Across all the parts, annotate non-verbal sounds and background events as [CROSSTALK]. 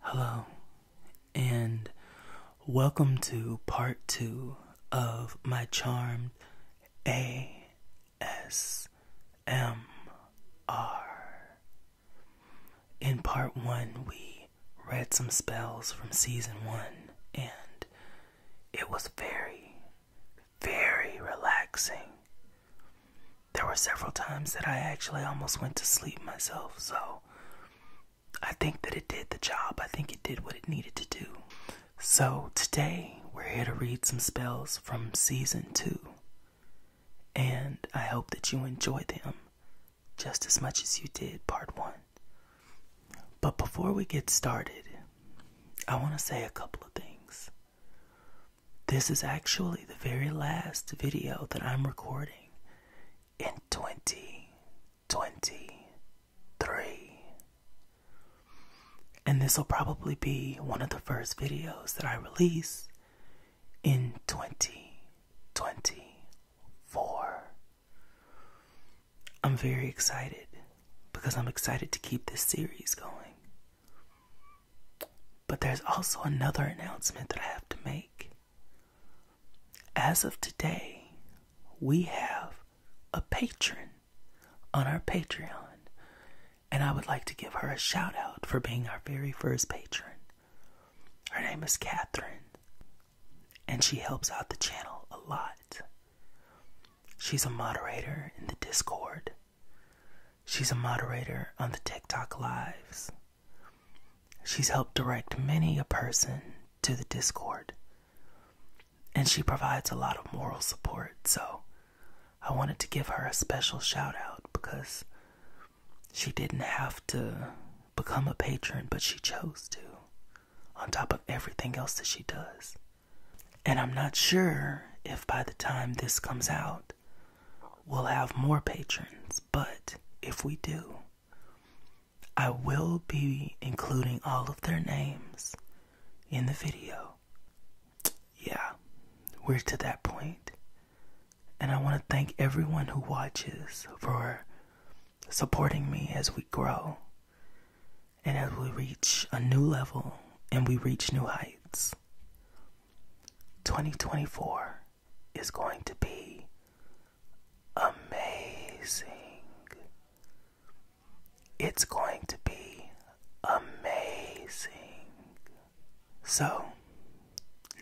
Hello, and welcome to part two of my charmed ASMR. In part one, we read some spells from season one, and it was very, very relaxing there were several times that I actually almost went to sleep myself, so I think that it did the job. I think it did what it needed to do. So today we're here to read some spells from season two, and I hope that you enjoy them just as much as you did part one. But before we get started, I want to say a couple of things. This is actually the very last video that I'm recording in 2023. And this will probably be one of the first videos that I release in 2024. I'm very excited because I'm excited to keep this series going. But there's also another announcement that I have to make. As of today, we have a patron on our Patreon, and I would like to give her a shout out for being our very first patron. Her name is Catherine, and she helps out the channel a lot. She's a moderator in the Discord, she's a moderator on the TikTok Lives. She's helped direct many a person to the Discord. And she provides a lot of moral support, so I wanted to give her a special shout out because she didn't have to become a patron, but she chose to, on top of everything else that she does. And I'm not sure if by the time this comes out, we'll have more patrons, but if we do, I will be including all of their names in the video. Yeah, we're to that And I want to thank everyone who watches for supporting me as we grow and as we reach a new level and we reach new heights. 2024 is going to be amazing. It's going to be amazing. So,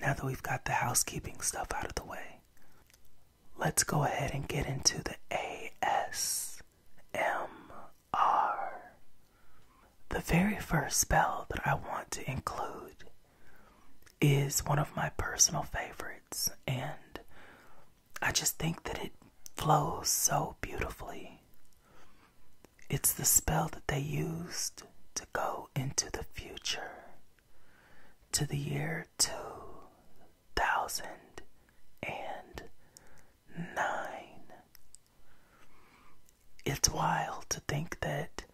now that we've got the housekeeping stuff out of the way, let's go ahead and get into the ASMR. The very first spell that I want to include is one of my personal favorites, and I just think that it flows so beautifully. It's the spell that they used to go into the future, to the year 2009. It's wild to think that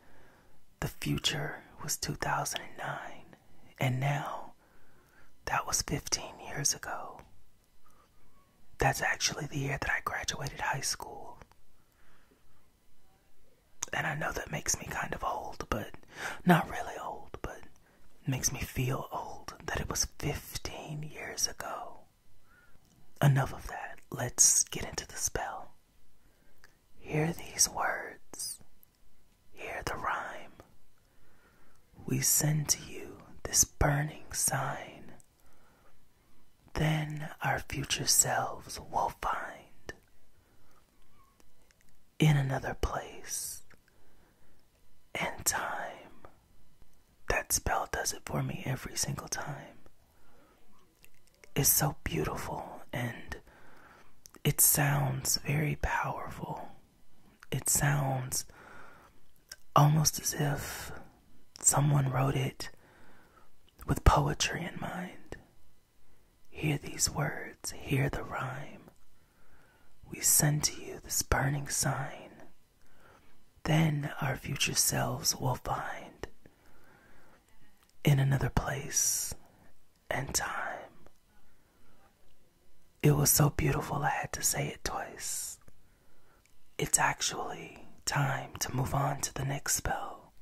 the future was 2009, and now that was 15 years ago. That's actually the year that I graduated high school. And I know that makes me kind of old, but not really old, but makes me feel old that it was 15 years ago. Enough of that. Let's get into the spell. Hear these words, hear the rhyme. We send to you this burning sign. Then our future selves will find in another place and time. That spell does it for me every single time is so beautiful and it sounds very powerful. It sounds almost as if someone wrote it with poetry in mind. Hear these words, hear the rhyme. We send to you this burning sign. Then our future selves will find in another place and time. It was so beautiful, I had to say it twice. It's actually time to move on to the next spell.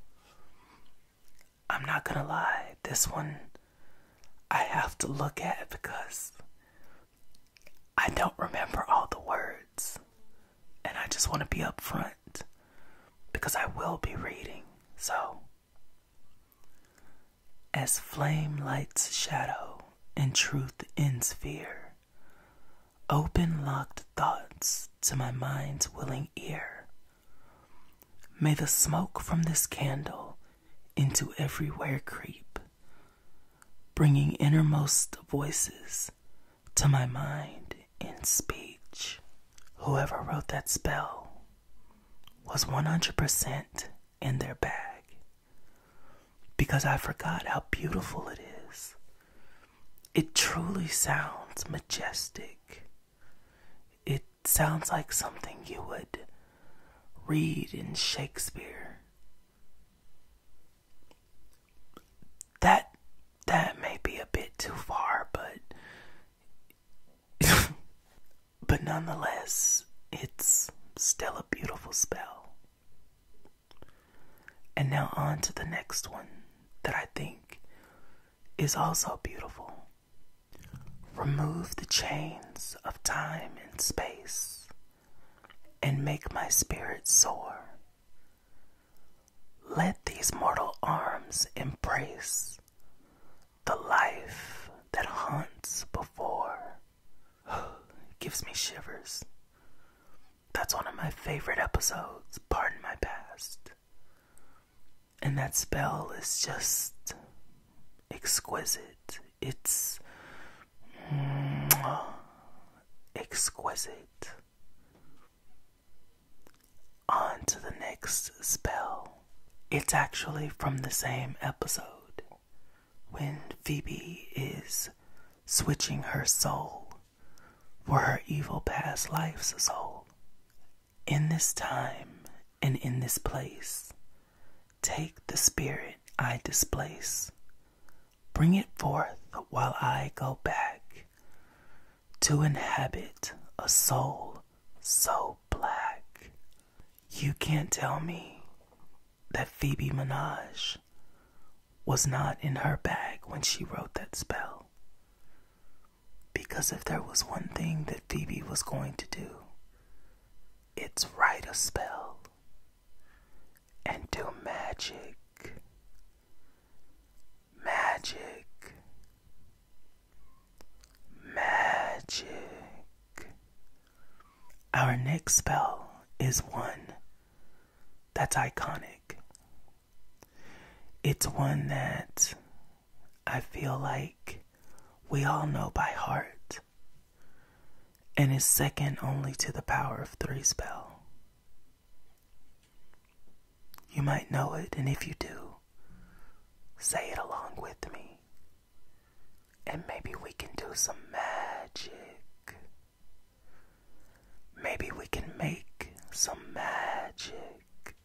I'm not gonna lie, this one I have to look at because I don't remember all the words. And I just want to be upfront because I will be reading. So, as flame lights shadow and truth ends fear, open locked thoughts to my mind's willing ear. May the smoke from this candle into everywhere creep, bringing innermost voices to my mind in speech. Whoever wrote that spell was 100% in their bag because I forgot how beautiful it is. It truly sounds majestic. It sounds like something you would read in Shakespeare. That that may be a bit too far, but [LAUGHS] but nonetheless, it's still a beautiful spell. And now on to the next one that I think is also beautiful. Remove the chains of time and space and make my spirit soar let these mortal arms embrace the life that haunts before. [GASPS] Gives me shivers. That's one of my favorite episodes, Pardon My Past. And that spell is just exquisite. It's [TSK] exquisite. On to the next spell. It's actually from the same episode when Phoebe is switching her soul for her evil past life's soul. In this time and in this place, take the spirit I displace, bring it forth while I go back to inhabit a soul so black. You can't tell me that Phoebe Minaj was not in her bag when she wrote that spell. Because if there was one thing that Phoebe was going to do, it's write a spell and do magic magic magic our next spell is one that's iconic it's one that i feel like we all know by heart and is second only to the power of three spell you might know it, and if you do, say it along with me. And maybe we can do some magic. Maybe we can make some magic.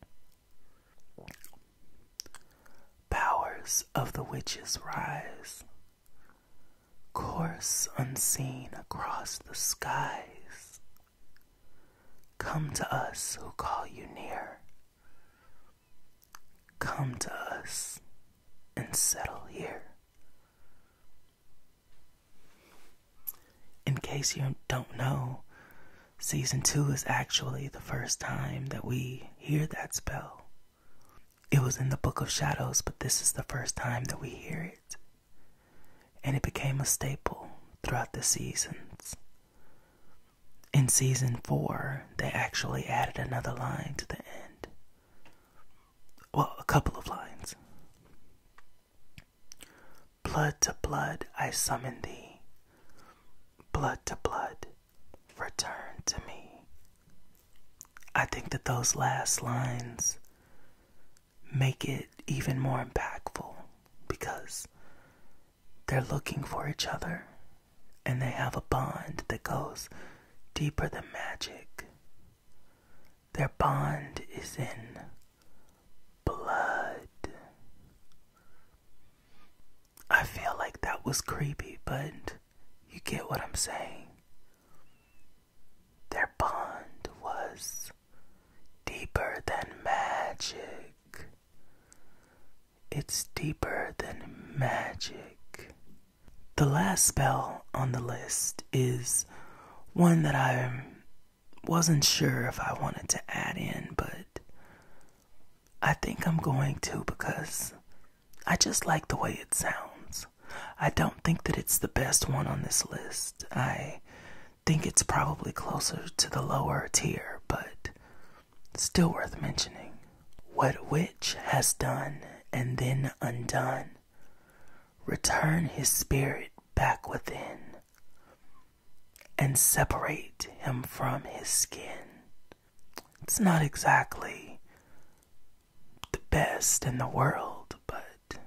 Powers of the witches rise, course unseen across the skies. Come to us who call you near. Come to us and settle here. In case you don't know, season two is actually the first time that we hear that spell. It was in the Book of Shadows, but this is the first time that we hear it and it became a staple throughout the seasons. In season four, they actually added another line to the end. Well, a couple of lines. Blood to blood, I summon thee. Blood to blood, return to me. I think that those last lines make it even more impactful because they're looking for each other and they have a bond that goes deeper than magic. Their bond is in blood. I feel like that was creepy, but you get what I'm saying. Their bond was deeper than magic. It's deeper than magic. The last spell on the list is one that I wasn't sure if I wanted to add in, but I think I'm going to because I just like the way it sounds. I don't think that it's the best one on this list. I think it's probably closer to the lower tier, but still worth mentioning. What witch has done and then undone, return his spirit back within, and separate him from his skin. It's not exactly the best in the world, but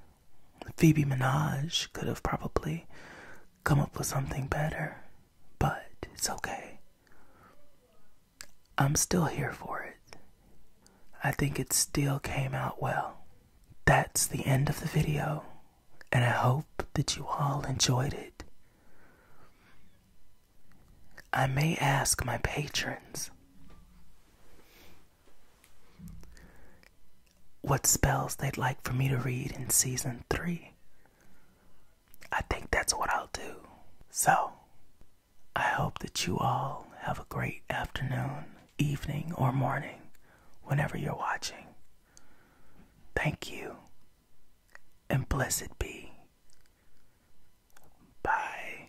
Phoebe Minaj could have probably come up with something better, but it's okay. I'm still here for it. I think it still came out well. That's the end of the video, and I hope that you all enjoyed it. I may ask my patrons what spells they'd like for me to read in season three. I think that's what I'll do. So, I hope that you all have a great afternoon, evening, or morning, whenever you're watching. Thank you, and blessed be. Bye.